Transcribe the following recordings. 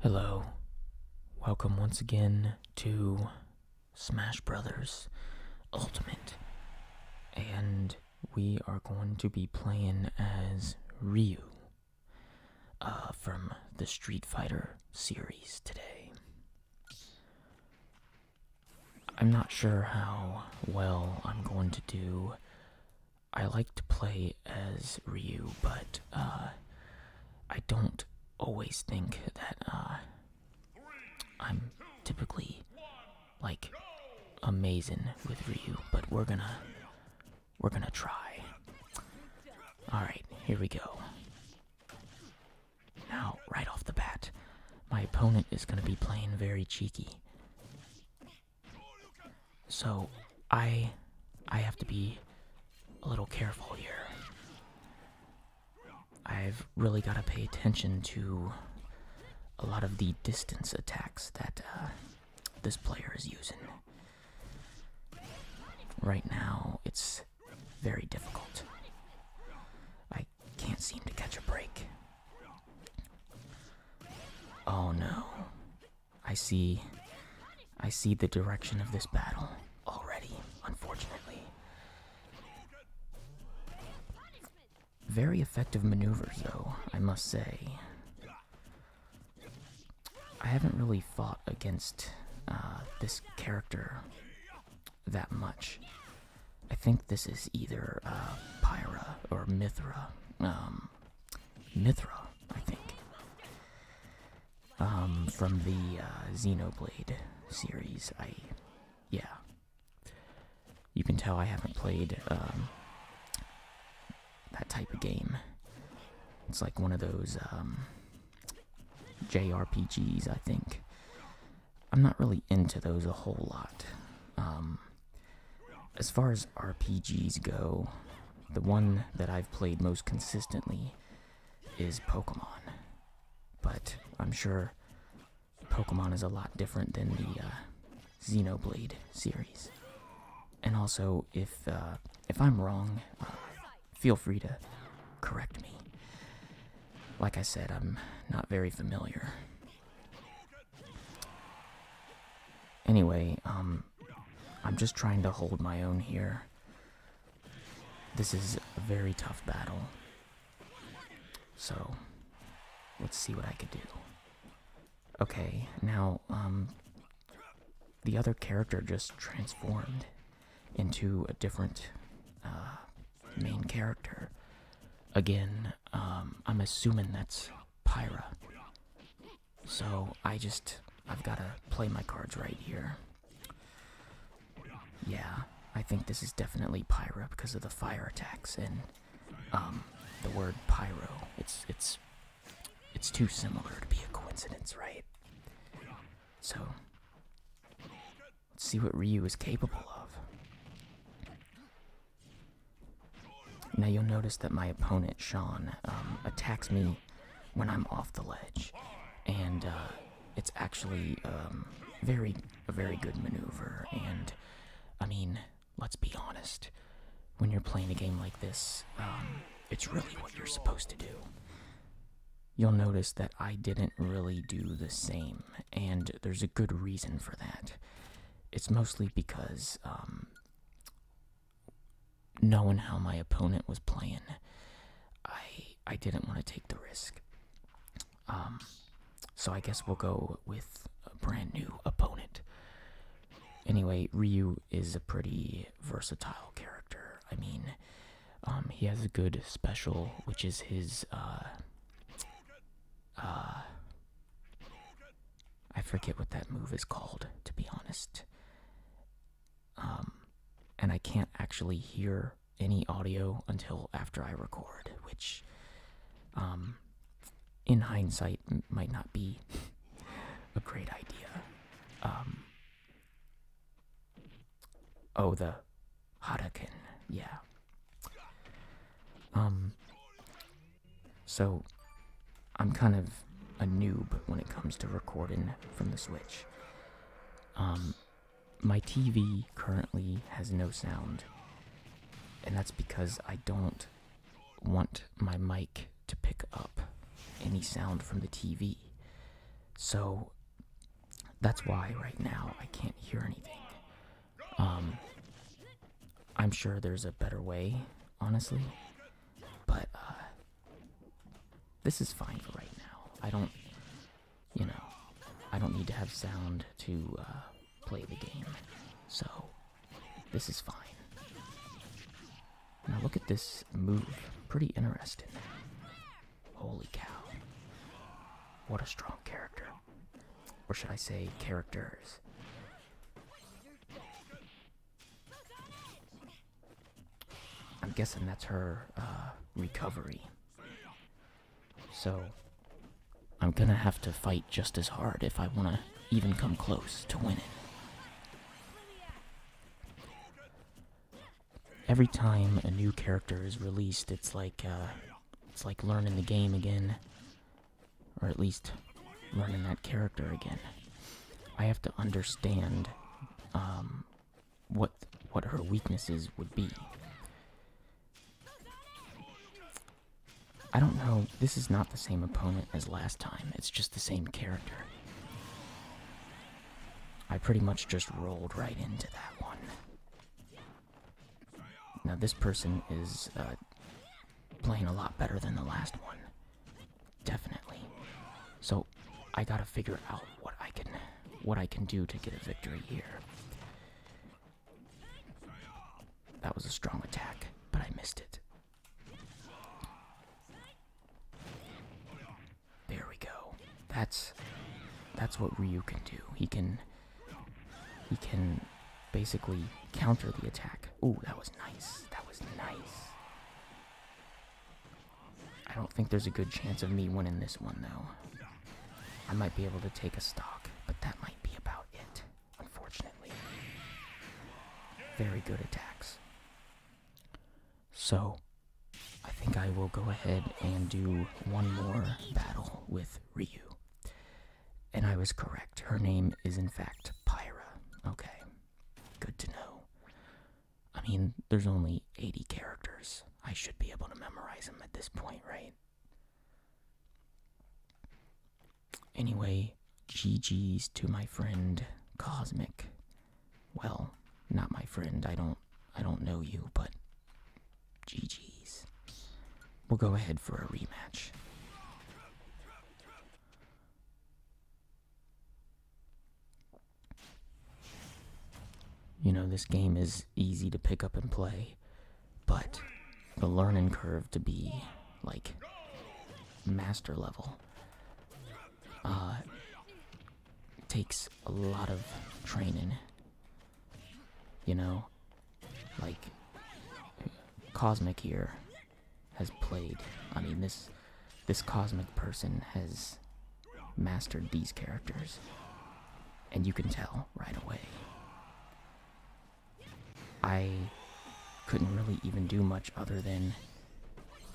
Hello. Welcome once again to Smash Brothers Ultimate. And we are going to be playing as Ryu uh, from the Street Fighter series today. I'm not sure how well I'm going to do. I like to play as Ryu, but uh, I don't always think that uh, I'm typically like amazing with Ryu, but we're gonna we're gonna try. All right, here we go. Now, right off the bat, my opponent is going to be playing very cheeky. So, I I have to be a little careful here. I've really got to pay attention to a lot of the distance attacks that uh, this player is using. Right now, it's very difficult. I can't seem to catch a break. Oh no. I see. I see the direction of this battle already, unfortunately. Very effective maneuvers, though, I must say. I haven't really fought against uh, this character that much. I think this is either uh, Pyra or Mithra. Um, Mithra, I think. Um, from the uh, Xenoblade series. I, yeah. You can tell I haven't played um, that type of game. It's like one of those JRPGs, I think. I'm not really into those a whole lot. Um, as far as RPGs go, the one that I've played most consistently is Pokemon. But I'm sure Pokemon is a lot different than the uh, Xenoblade series. And also, if uh, if I'm wrong, uh, feel free to correct me. Like I said, I'm not very familiar. Anyway, um, I'm just trying to hold my own here. This is a very tough battle. So, let's see what I can do. Okay, now, um, the other character just transformed into a different uh, main character. Again, um, I'm assuming that's Pyra. So I just, I've got to play my cards right here. Yeah, I think this is definitely Pyra because of the fire attacks and um, the word pyro. It's, it's it's too similar to be a coincidence, right? So, let's see what Ryu is capable of. Now you'll notice that my opponent, Sean, um, attacks me when I'm off the ledge, and uh, it's actually um, very a very good maneuver. And I mean, let's be honest, when you're playing a game like this, um, it's really what you're supposed to do. You'll notice that I didn't really do the same, and there's a good reason for that. It's mostly because, um, knowing how my opponent was playing, I I didn't want to take the risk. Um, so I guess we'll go with a brand new opponent. Anyway, Ryu is a pretty versatile character. I mean, um, he has a good special, which is his, uh, uh, I forget what that move is called, to be honest. Um, and I can't actually hear any audio until after I record, which, um, in hindsight, might not be a great idea. Um, oh, the Hadouken, yeah. Um, so I'm kind of a noob when it comes to recording from the Switch. Um, my TV currently has no sound, and that's because I don't want my mic to pick up any sound from the TV. So that's why right now I can't hear anything. Um, I'm sure there's a better way, honestly, but uh, this is fine for right now. I don't, you know, I don't need to have sound to uh, play the game. So this is fine. Now look at this move. Pretty interesting. Holy cow. What a strong character. Or should I say characters. I'm guessing that's her uh, recovery. So I'm gonna have to fight just as hard if I wanna even come close to winning. Every time a new character is released, it's like uh, it's like learning the game again, or at least learning that character again. I have to understand um, what what her weaknesses would be. I don't know. This is not the same opponent as last time. It's just the same character. I pretty much just rolled right into that one. Now this person is uh, playing a lot better than the last one. Definitely. So I gotta figure out what I can what I can do to get a victory here. That was a strong attack, but I missed it. There we go. That's that's what Ryu can do. He can he can basically counter the attack. Ooh, that was nice. That was nice. I don't think there's a good chance of me winning this one though. I might be able to take a stock, but that might be about it unfortunately. Very good attacks. So, I think I will go ahead and do one more battle with Ryu. And I was correct. Her name is, in fact, Pyra. Okay. Good to know. I mean, there's only 80 characters. I should be able to memorize them at this point, right? Anyway, GG's to my friend Cosmic. Well, not my friend. I don't I don't know you, but GG's. We'll go ahead for a rematch. You know, this game is easy to pick up and play but the learning curve to be like master level uh, takes a lot of training. You know, like Cosmic here has played. I mean, this this Cosmic person has mastered these characters, and you can tell right away. I couldn't really even do much other than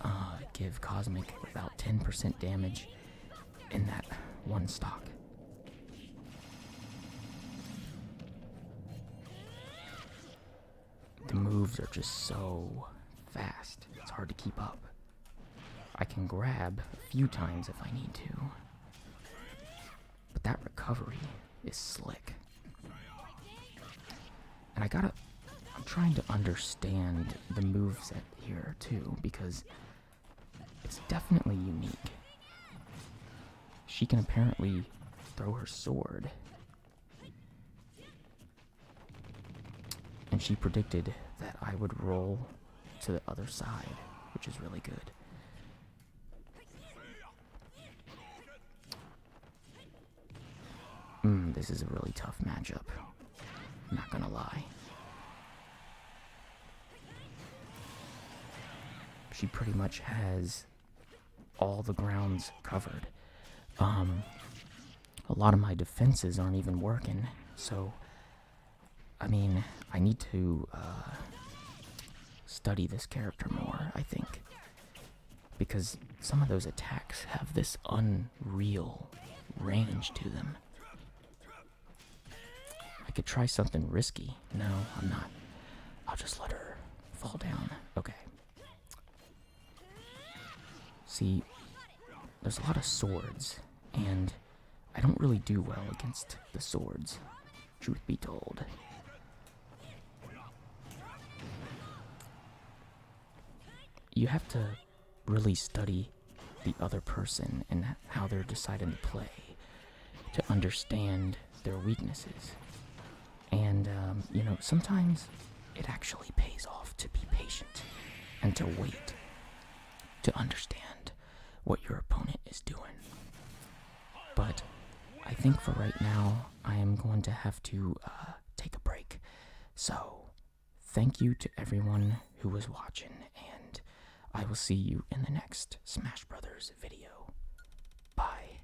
uh, give Cosmic about 10% damage in that one stock. The moves are just so fast, it's hard to keep up. I can grab a few times if I need to. But that recovery is slick. And I gotta. I'm trying to understand the moveset here too, because it's definitely unique. She can apparently throw her sword. And she predicted that I would roll to the other side, which is really good. Hmm, this is a really tough matchup. Not gonna lie. She pretty much has all the grounds covered. Um, a lot of my defenses aren't even working, so I mean, I need to uh, study this character more, I think. Because some of those attacks have this unreal range to them. I could try something risky. No, I'm not. I'll just let her fall down. Okay. See, there's a lot of swords, and I don't really do well against the swords, truth be told. You have to really study the other person and how they're deciding to play to understand their weaknesses. And, um, you know, sometimes it actually pays off to be patient and to wait to understand what your opponent is doing. But I think for right now, I am going to have to uh, take a break. So, thank you to everyone who was watching, and I will see you in the next Smash Brothers video. Bye.